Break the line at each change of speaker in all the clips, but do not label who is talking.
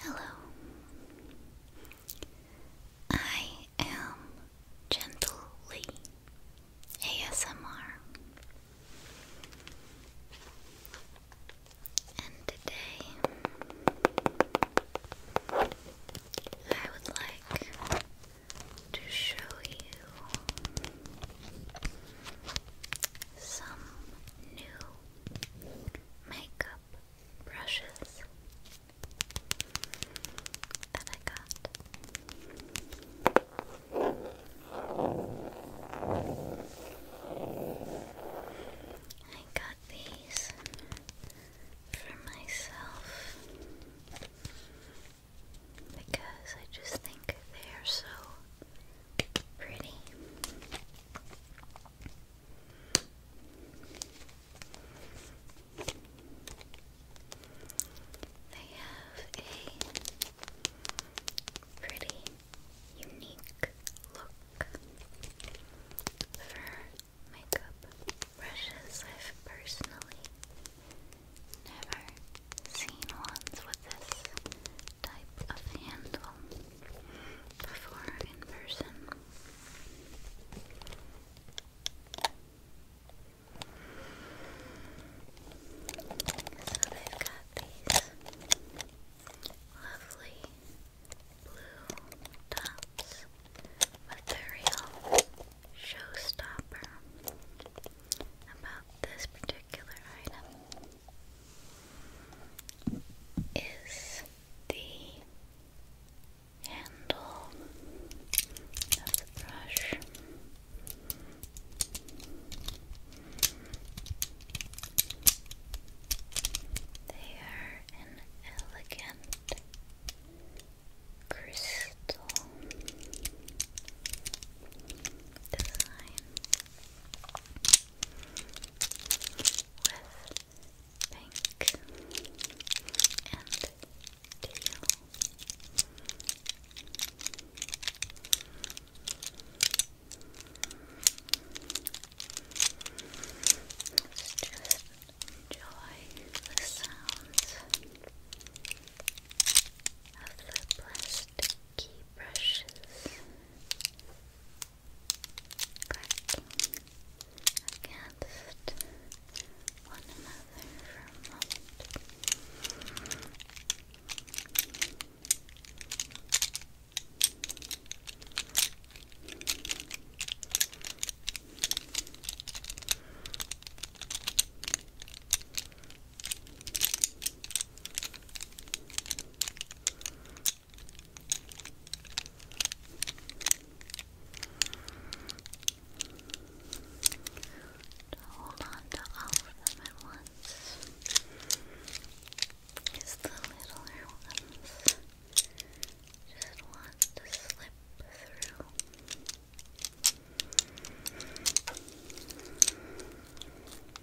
Hello. I am Gently ASMR, and today I would like to show you some new makeup brushes that I got. I got these for myself because I just think they're so pretty. I have a pretty unique look for makeup brushes. I've personally never seen ones with this type of handle before in person. So they've got these lovely blue tops with the real showstopper about this particular item is the handle of the brush. They are an elegant crystal design with pink and teal. Let's sounds of the plastic key brushes cracking against one another for a moment. To hold on to all of them at once. Because the littler ones just want to slip through. So,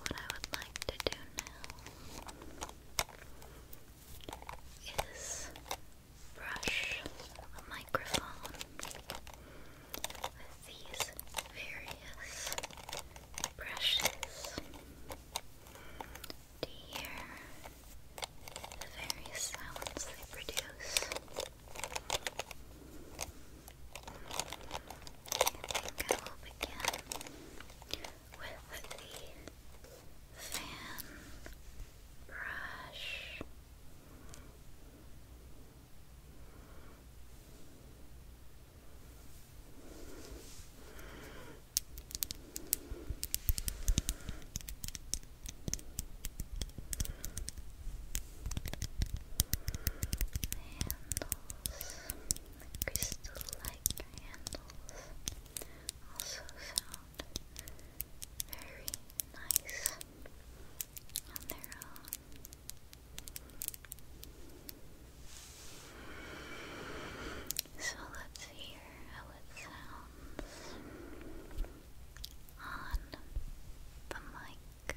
what I would like to do now is brush the microphone with these various brushes to hear the various sounds they produce. I think I will begin with the fan brush handles, crystal-like handles, also sound very nice on their own. So let's hear it sounds on the mic.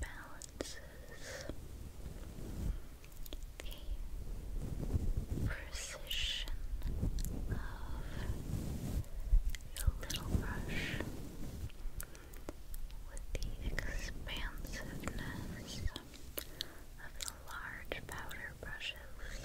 balances the precision of the little brush with the expansiveness of the large powder brushes.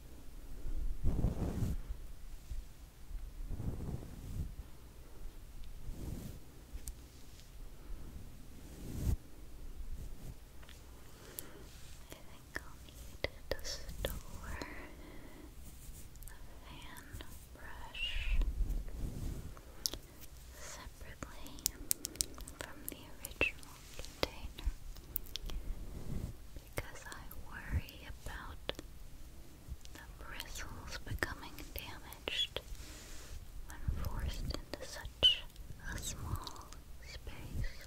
think I'll need to store the fan brush separately from the original container because I worry about the bristles becoming damaged when forced into such a small space.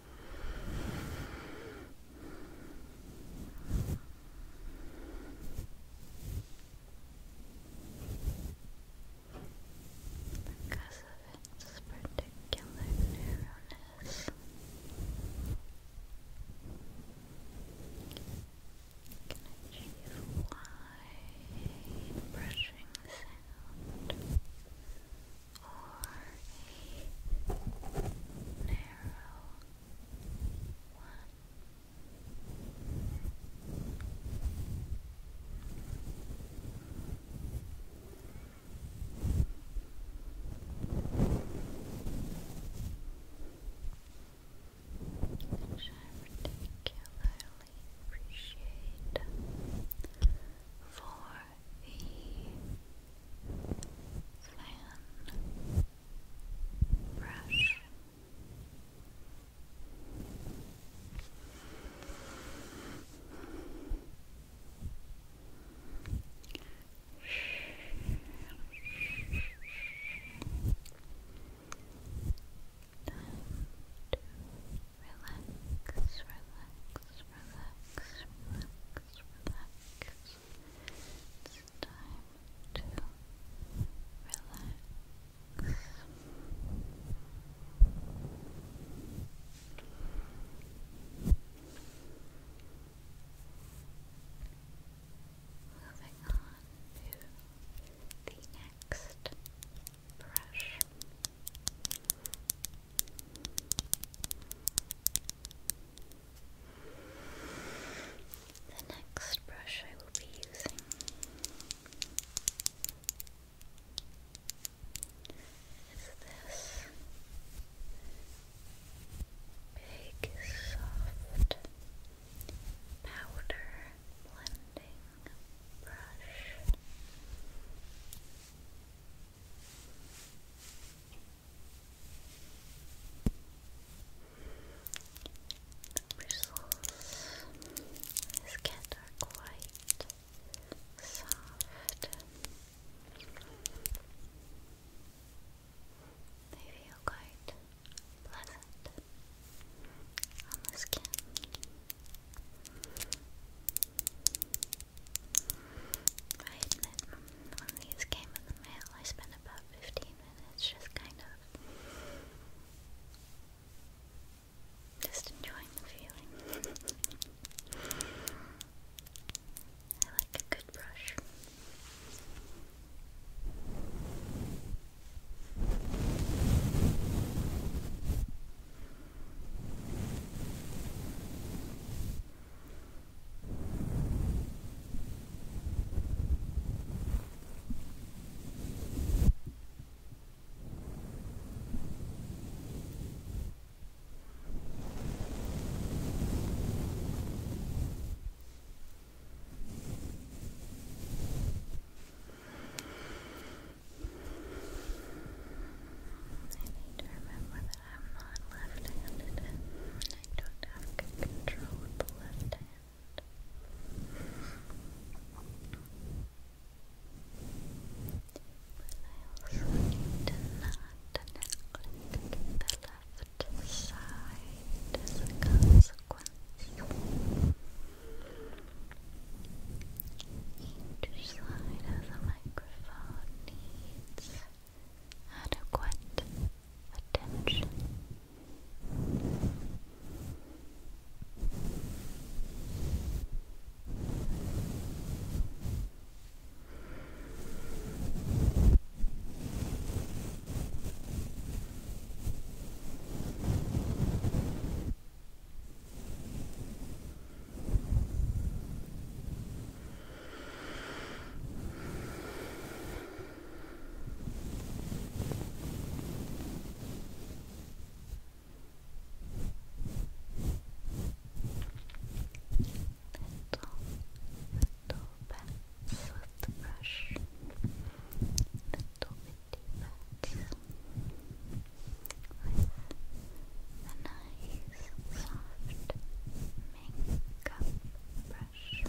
Because of its particular narrowness, you can achieve wide brushing sound or a narrow one. I particularly appreciate for the fan brush. Time relax, relax, relax, relax relax. It's time to relax. Moving on to the next brush the next brush I will be using is this big, soft powder blending brush. The bristles on quite soft. They feel quite pleasant on the skin. I admit, when these came in the mail, I spent about 15 minutes just kind of just enjoying the feeling. I like a good brush. I need to remember that I'm not left-handed I don't have control with the left hand. But I also need to not neglect the left side as a consequence. Each side has a microphone needs adequate attention bats with the brush, little bitty bats a nice soft makeup brush.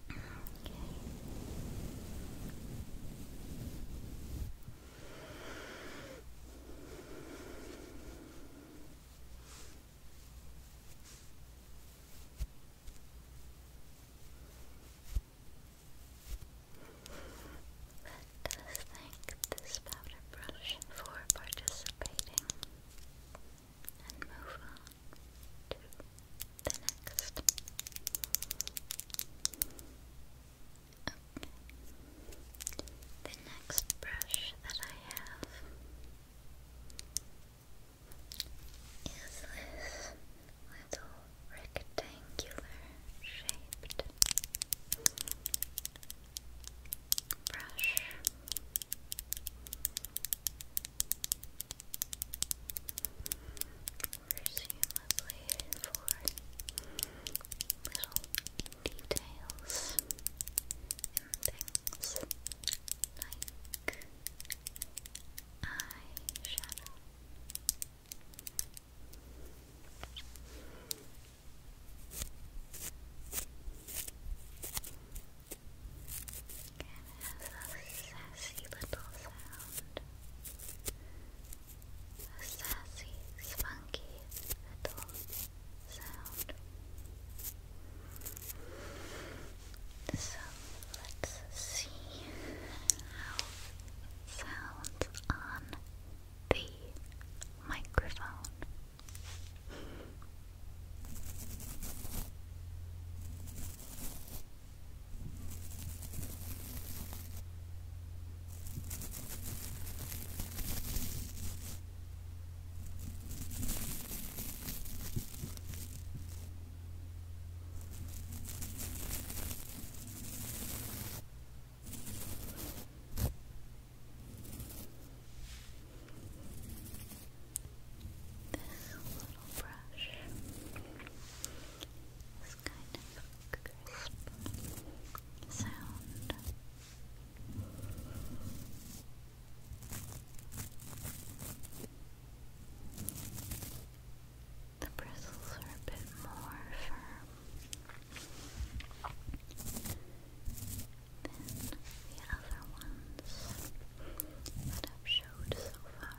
Let us thank this powder brush for participating and move on to the next. Okay. The next brush that I have is this little rectangular shaped brush presumably for little details things like eyeshadow. it has a sassy little sound. A sassy, spunky little sound. So let's see how it sounds on the microphone. This little brush this kind of crisp sound. The bristles are a bit more firm than the other ones that I've showed so far.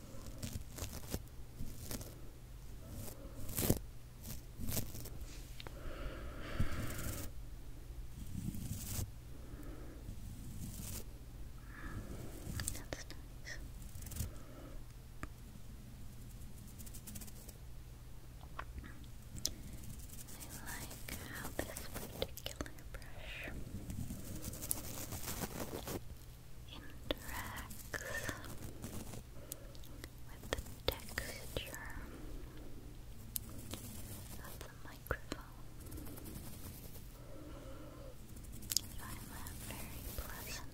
That's nice. I like how this particular brush interacts with the texture of the microphone. I very pleasant.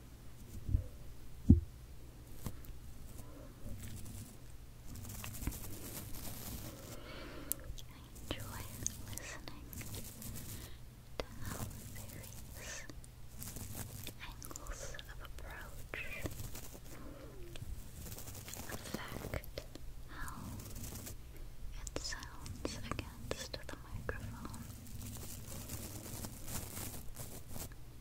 I enjoy listening to how various angles of approach affect how it sounds against the microphone.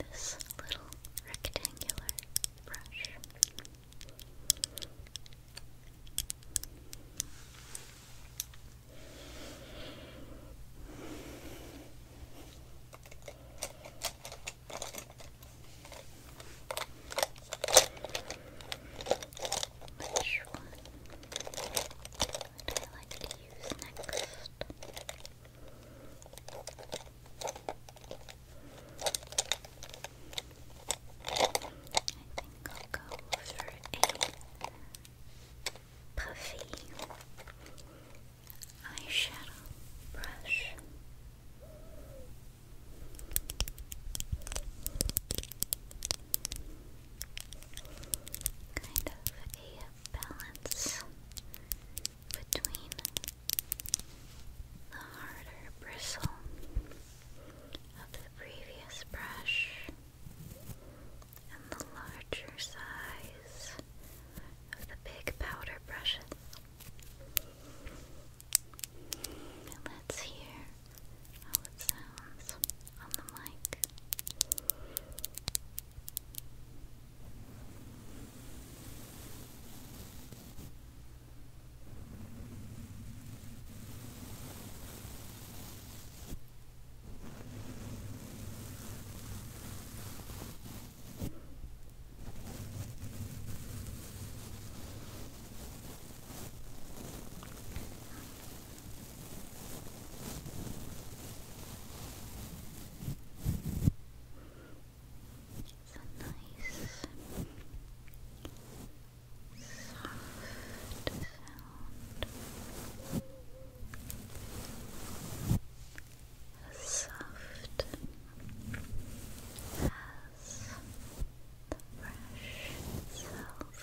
this little rectangular brush. Which one would I like use next. I think I'll go for a puffy eyeshadow brush kind of a balance between the harder bristle of the previous brush and the larger size of the big powder brushes. let's hear how it sounds on the mic. It's a nice soft sound. As soft as the brush itself.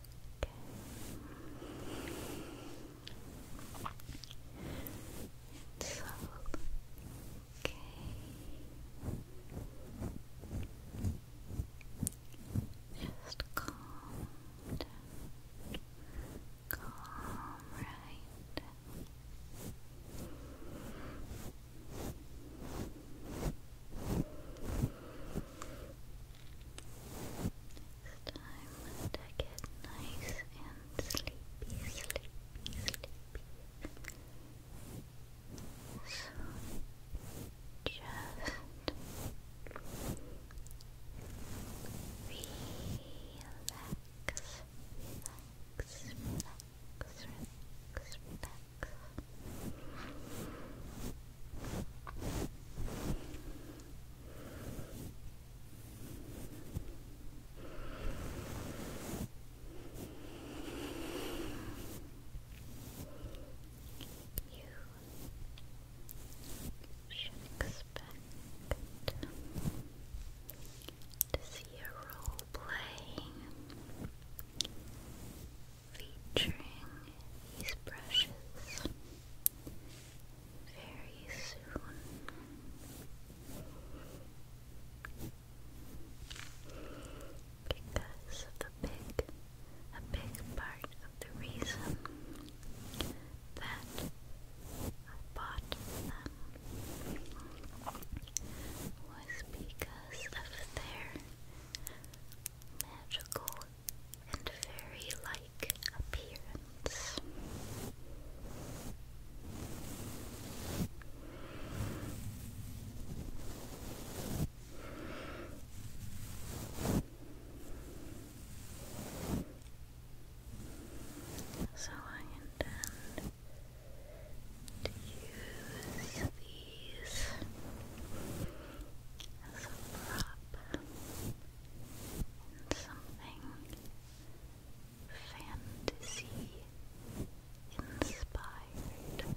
okay. It's okay. Just calm Calm, right? This time to get nice and sleepy, sleepy, sleepy. just relax, relax, relax, relax, relax should expect to see a role playing featuring these brushes very soon. Because of the big, a big part of the reason that I bought them was because of their magical and fairy like appearance. So I intend to use these as a prop something fantasy inspired.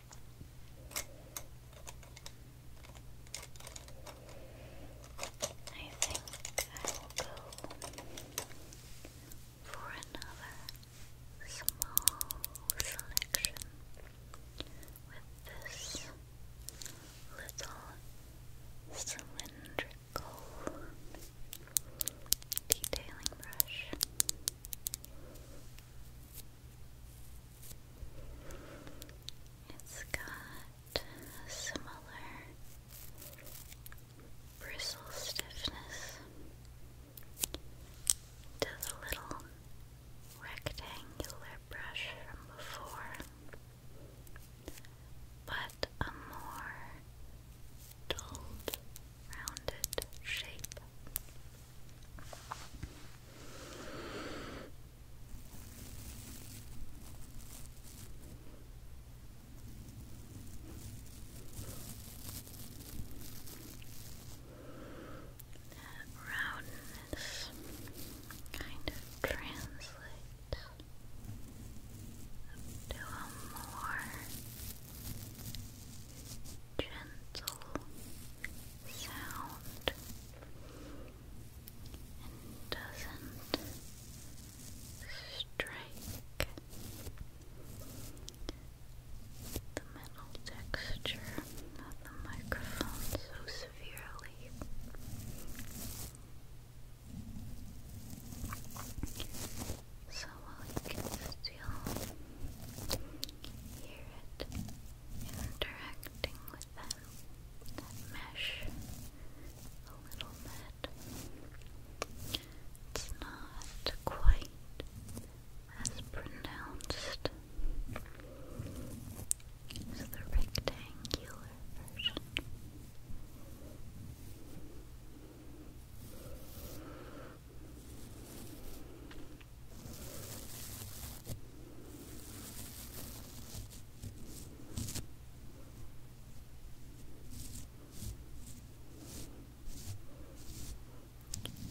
I think I will go for another small selection with this little cylindrical detailing brush. It's got a similar bristle stiffness to the little rectangular brush from before, but a more dulled, rounded shape. That roundness kind of translates to a more gentle sound and doesn't strike the metal texture of the microphone so severely. So while can still hear it interacting with with that, mesh a little bit. It's not quite as pronounced as the rectangular version.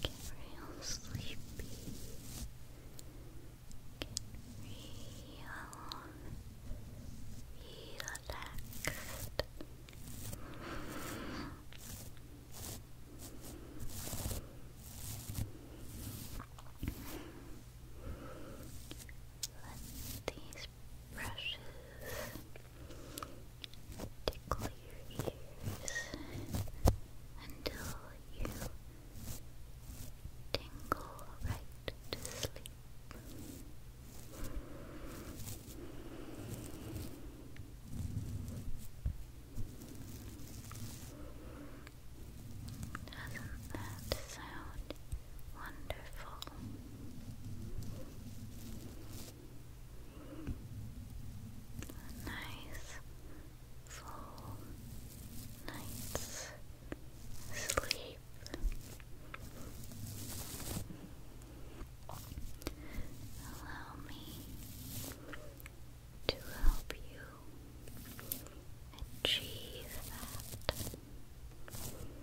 Get real sleepy. Get real relaxed. Let these brushes tickle your ears until you tingle right to sleep. Doesn't that sound wonderful? nice full night's sleep. Allow me to help you achieve that. twirl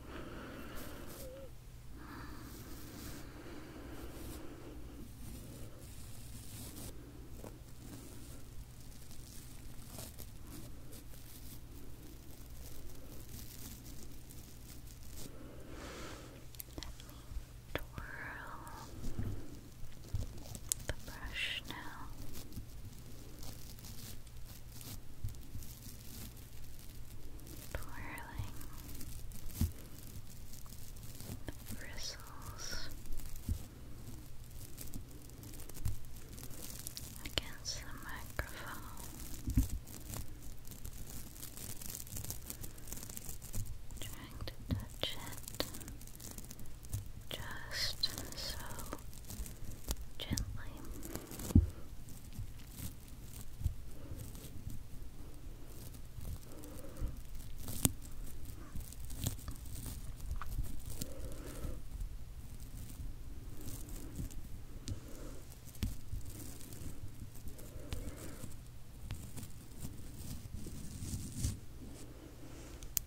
the brush now. Twirling the bristles against the microphone, trying to touch it just so gently was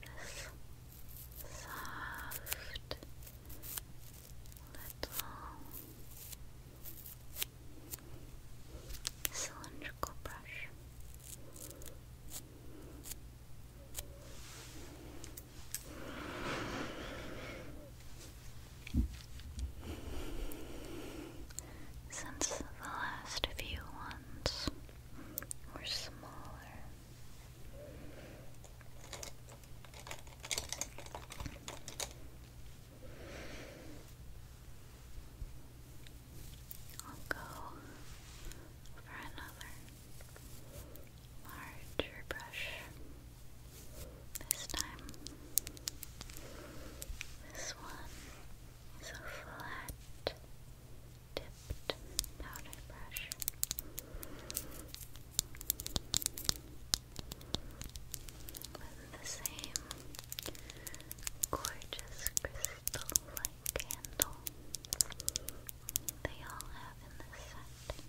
this soft little cylindrical brush. Since the last few ones were smaller, I'll go for another larger brush this time. This one is a flat tipped powder brush. With the same gorgeous crystal like candle they all have in this set.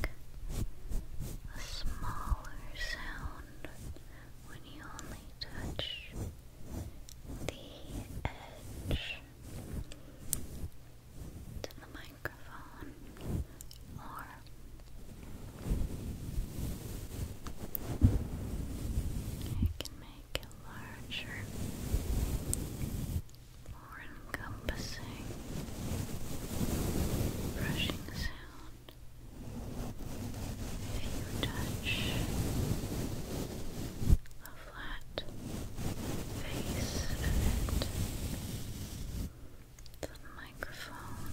make a smaller sound when you only touch the edge to the microphone or I can make it larger more encompassing brushing sound if you touch the flat face of it the microphone.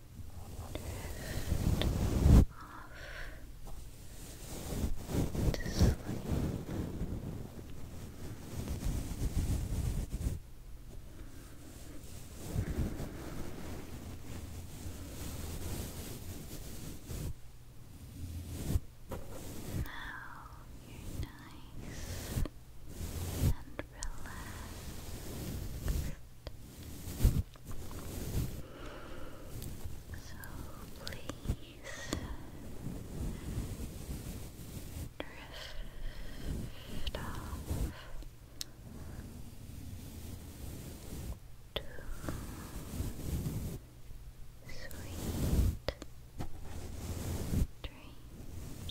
and off to Now you're nice and relax. So please uh, drift off to sweet dreams.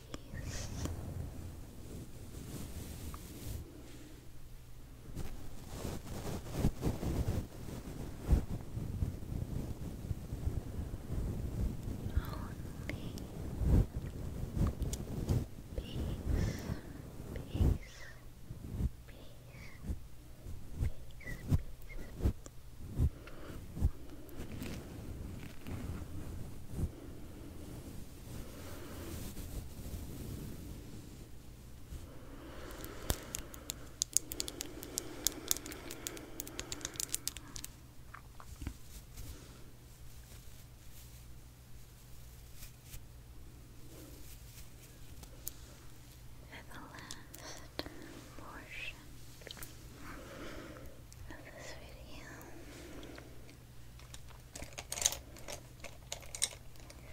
peace, peace, peace, peace. For the last portion of this video, I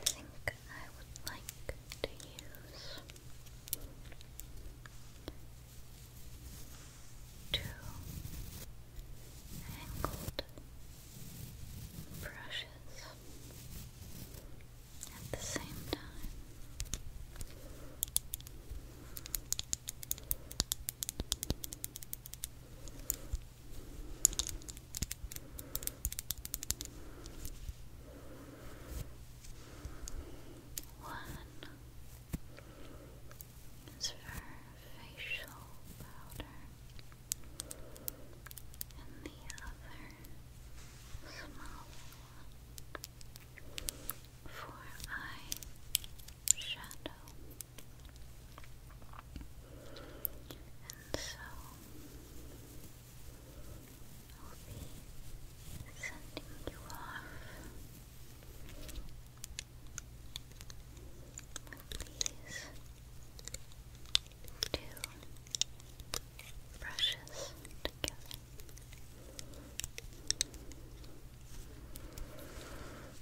think I would like to use two angled brushes at the same time. One is facial powder, and the other small one for eye shadow. And so I'll be sending you off. Please do brushes together.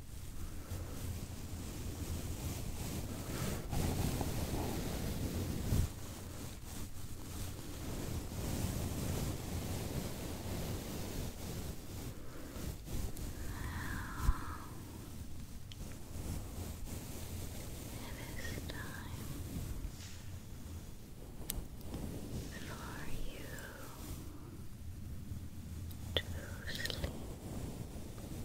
It is time for you to sleep.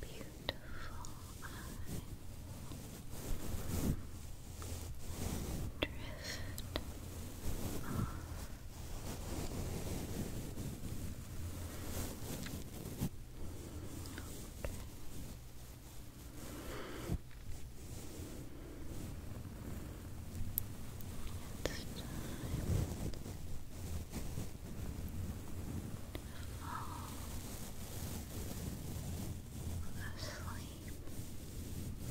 beautiful eyes drift off. time fall asleep. That is the one and um,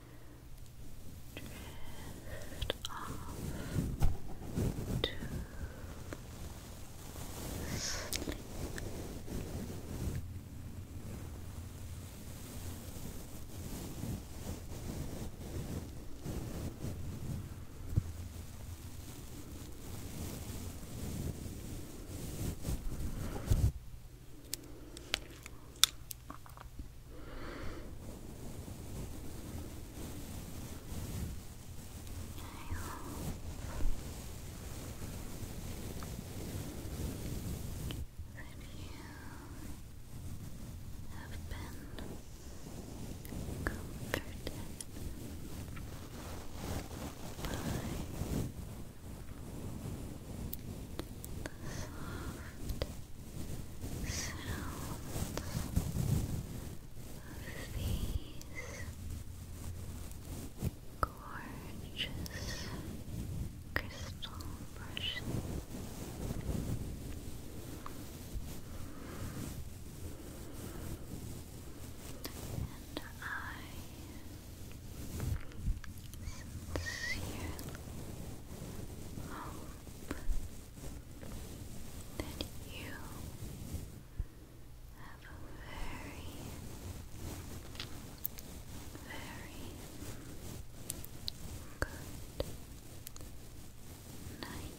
drift off to sleep have been comforted by the soft sounds these gorgeous crystal brushes. And I sincerely hope that you have a very, very good night.